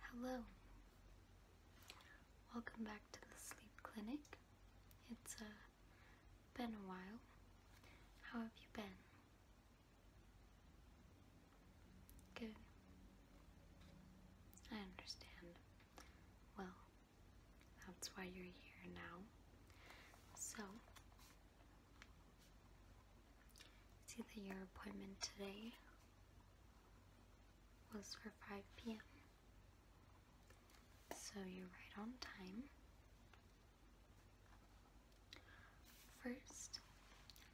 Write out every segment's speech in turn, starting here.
Hello. Welcome back to the sleep clinic. It's uh, been a while. How have you been? Good. I understand. Well, that's why you're here now. So, See that your appointment today was for 5 p.m. So you're right on time. First,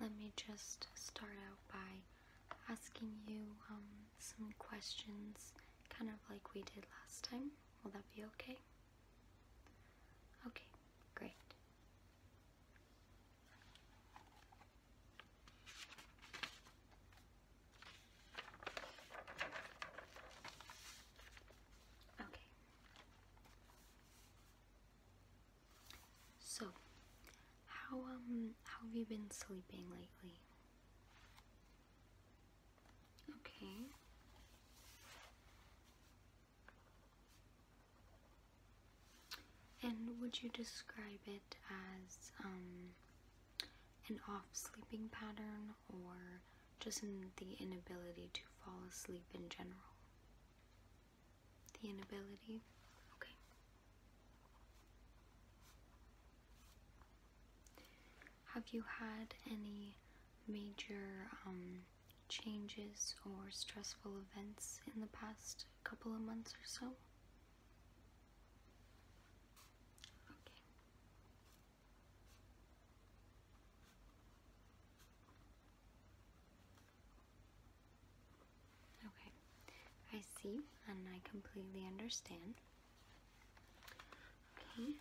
let me just start out by asking you um, some questions, kind of like we did last time. Will that be okay? Okay, Great. Okay. So, how um how have you been sleeping lately? Okay. And would you describe it as um, an off sleeping pattern or just the inability to fall asleep in general? The inability? Okay. Have you had any major um, changes or stressful events in the past couple of months or so? Okay. I see and I completely understand. Okay,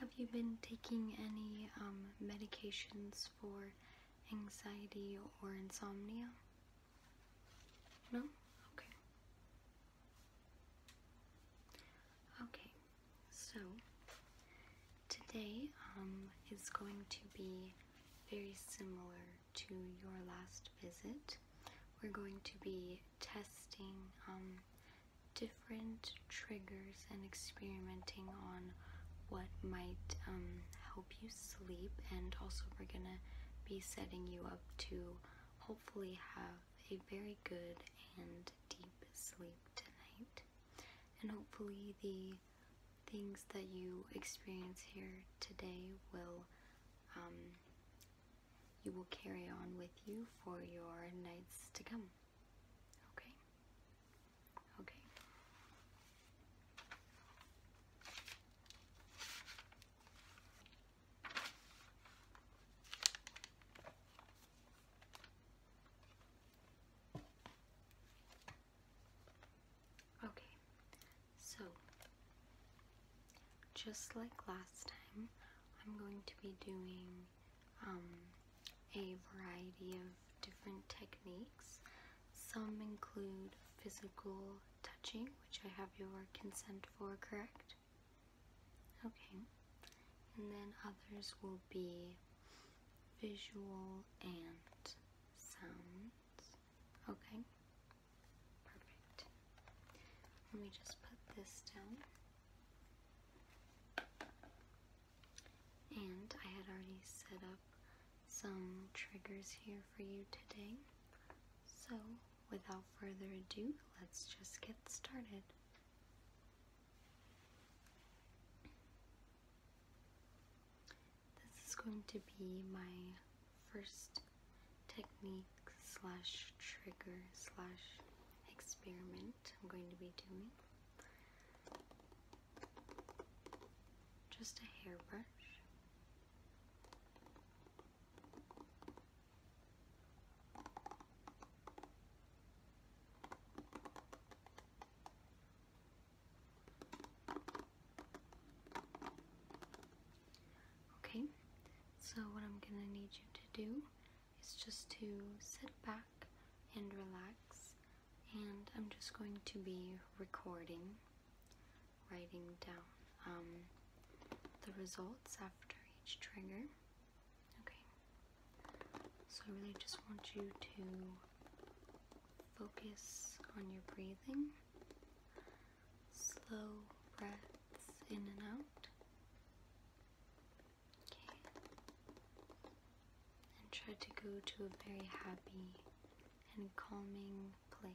have you been taking any um, medications for anxiety or insomnia? No? Okay. Okay, so today um, is going to be very similar to your last visit, we're going to be testing um, different triggers and experimenting on what might um, help you sleep, and also we're gonna be setting you up to hopefully have a very good and deep sleep tonight. And hopefully, the things that you experience here today will um, you will carry on with you for your nights to come. Okay? Okay. Okay, so, just like last time, I'm going to be doing um, a variety of different techniques. Some include physical touching, which I have your consent for, correct? Okay. And then others will be visual and sounds. Okay. Perfect. Let me just put this down. And I had already set up some triggers here for you today. So, without further ado, let's just get started. This is going to be my first technique slash trigger slash experiment I'm going to be doing. Just a hairbrush. Okay, so what I'm gonna need you to do is just to sit back and relax, and I'm just going to be recording, writing down um, the results after each trigger. Okay, so I really just want you to focus on your breathing slow breaths in and out. Okay. And try to go to a very happy and calming place.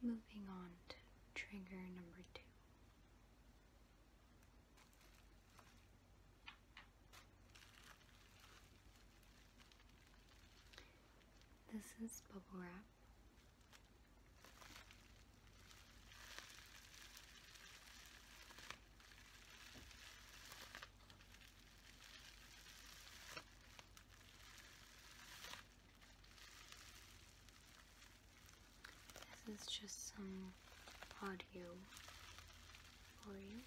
Okay, moving on to trigger number two. This is bubble wrap. This is just some audio for you.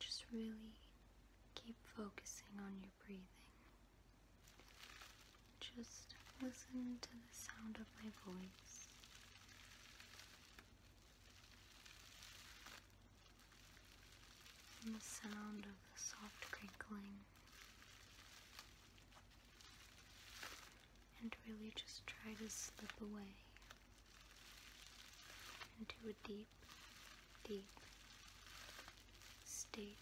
Just really keep focusing on your breathing. Just listen to the sound of my voice and the sound of the soft crinkling. And really just try to slip away into a deep, deep state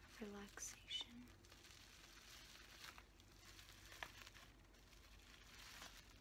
of relaxation.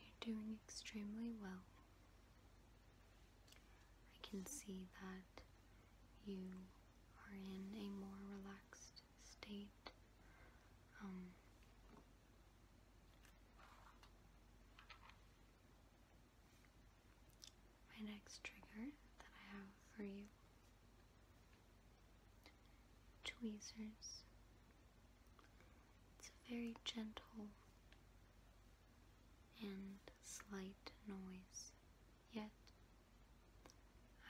You're doing extremely well. I can see that you are in a more relaxed state. Um, my next trigger that I have for you tweezers it's a very gentle and slight noise, yet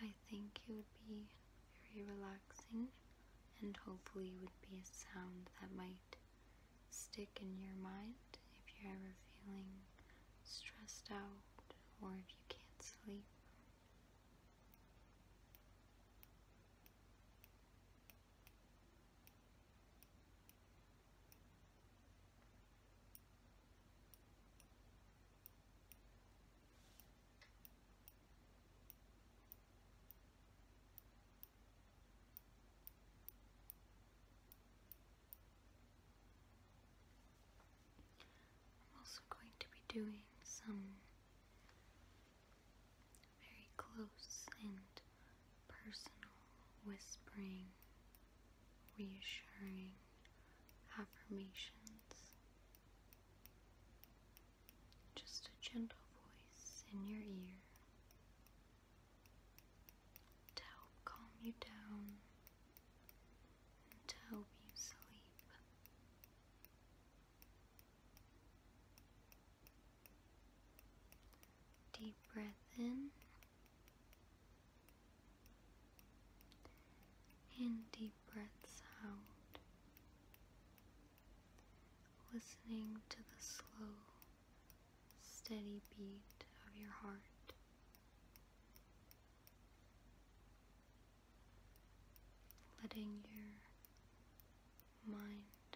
I think it would be very relaxing and hopefully would be a sound that might stick in your mind if you're ever feeling stressed out or if you can't sleep I'm also going to be doing some very close and personal, whispering, reassuring affirmations. Just a gentle voice in your ear to help calm you down and to help you sleep. Deep breath in and deep breaths out, listening to the slow, steady beat of your heart letting your mind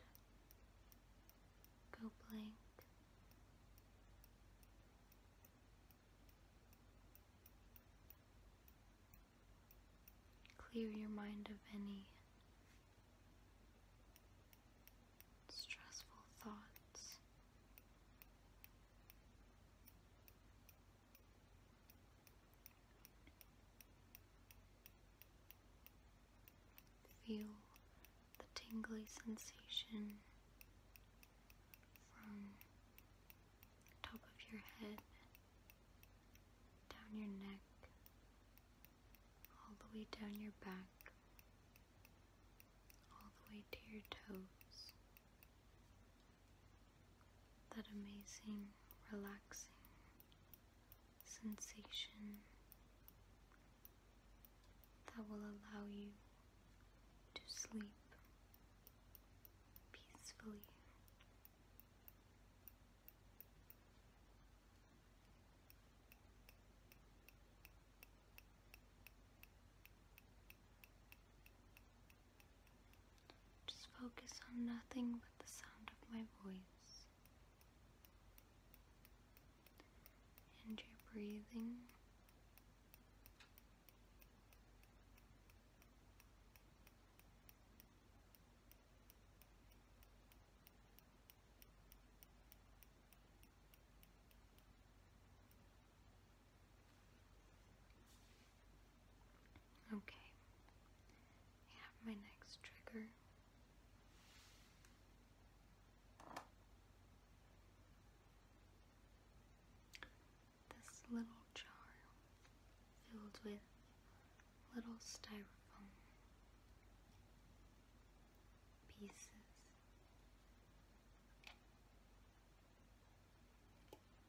go blank. Clear your mind of any stressful thoughts. Feel the tingly sensation from the top of your head down your neck all the way down your back all the way to your toes that amazing relaxing sensation that will allow you to sleep peacefully. Just focus on nothing but the sound of my voice and your breathing. Okay, I have my next trigger. This little jar filled with little styrofoam pieces.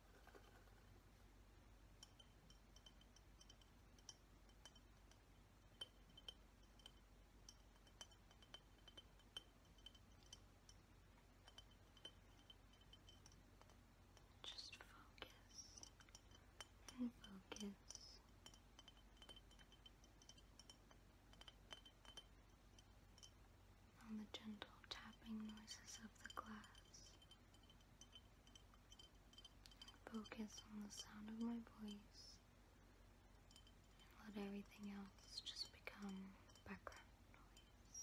Just focus and focus. On the gentle tapping noises of the glass. Focus on the sound of my voice and let everything else just become background noise.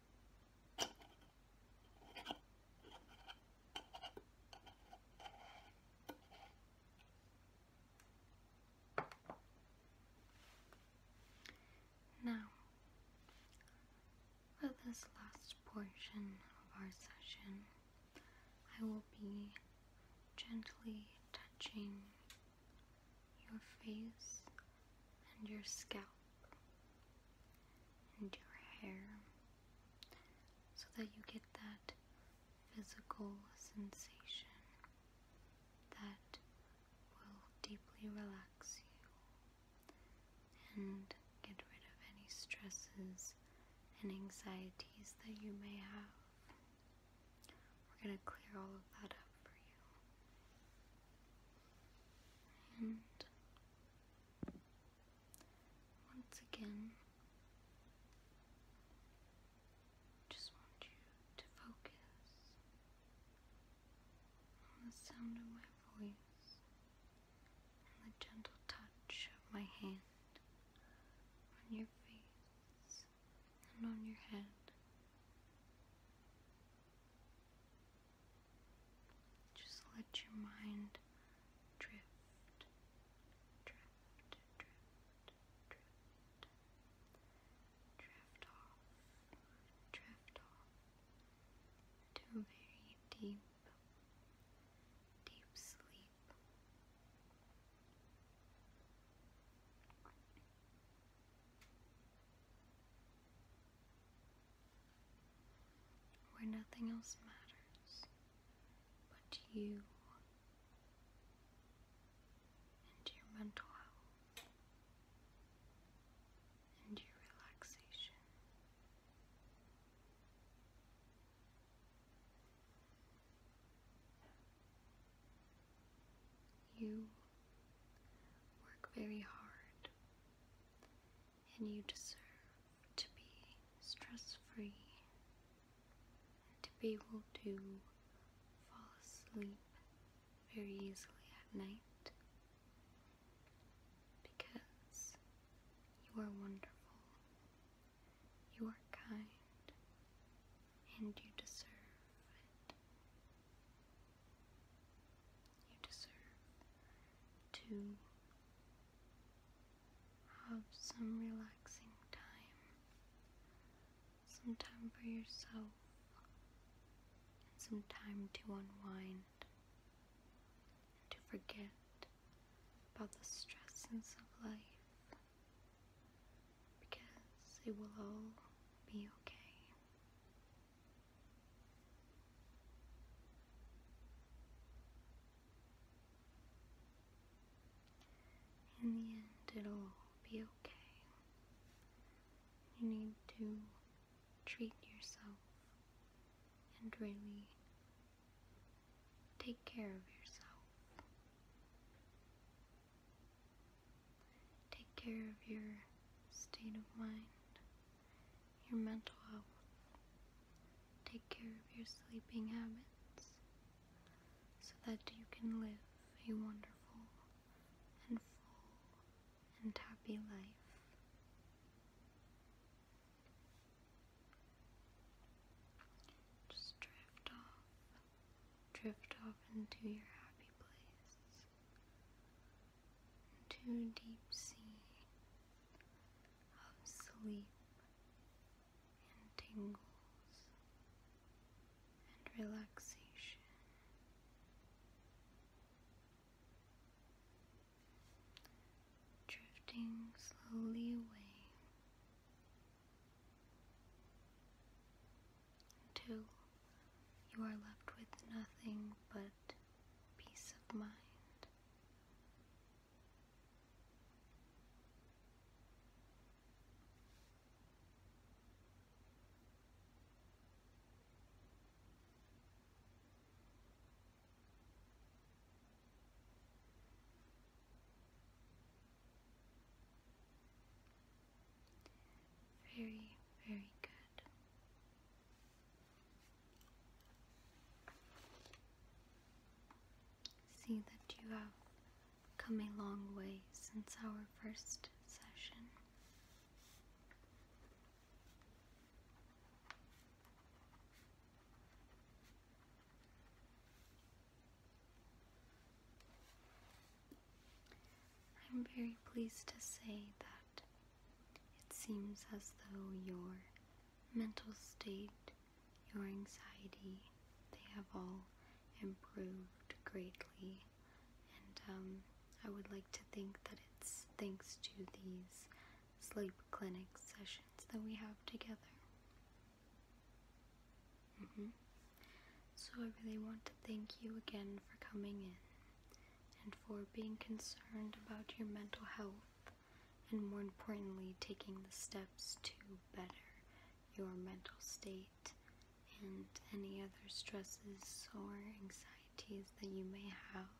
Now, for this last portion of our session, I will be gently touching your face and your scalp and your hair so that you get that physical sensation that will deeply relax you and get rid of any stresses and anxieties that you may have. We're going to clear all of that up. And once again, just want you to focus on the sound of my voice and the gentle touch of my hand on your face and on your head. Just let your mind drift, drift, drift, drift, drift off, drift off to very deep, deep sleep where nothing else matters but you and your mental health and your relaxation. You work very hard and you deserve to be stress free to be able to fall asleep very easily at night because you are wonderful, you are kind, and you deserve it. You deserve to have some relaxing time, some time for yourself, some time to unwind and to forget about the stresses of life because it will all be okay. In the end, it'll be okay. You need to treat yourself and really take care of yourself. Take care of your state of mind, your mental health. Take care of your sleeping habits so that you can live a wonderful and full and happy life. Just drift off, drift off into your happy place. Too deep sea of sleep and tingles and relaxation. Drifting slowly away until you are left with nothing but peace of mind. Very, very good. See that you have come a long way since our first session. I'm very pleased to say that it seems as though your mental state, your anxiety, they have all improved greatly. And um, I would like to think that it's thanks to these sleep clinic sessions that we have together. Mm-hmm. So I really want to thank you again for coming in and for being concerned about your mental health and more importantly taking the steps to better your mental state and any other stresses or anxieties that you may have.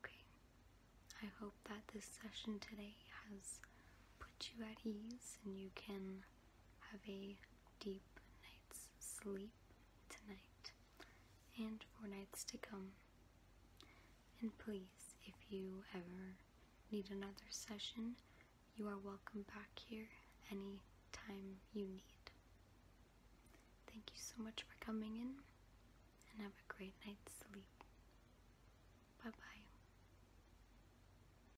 Okay, I hope that this session today has put you at ease and you can have a deep night's sleep tonight and for nights to come. And please, if you ever need another session, you are welcome back here any time you need. Thank you so much for coming in and have a great night's sleep. Bye bye.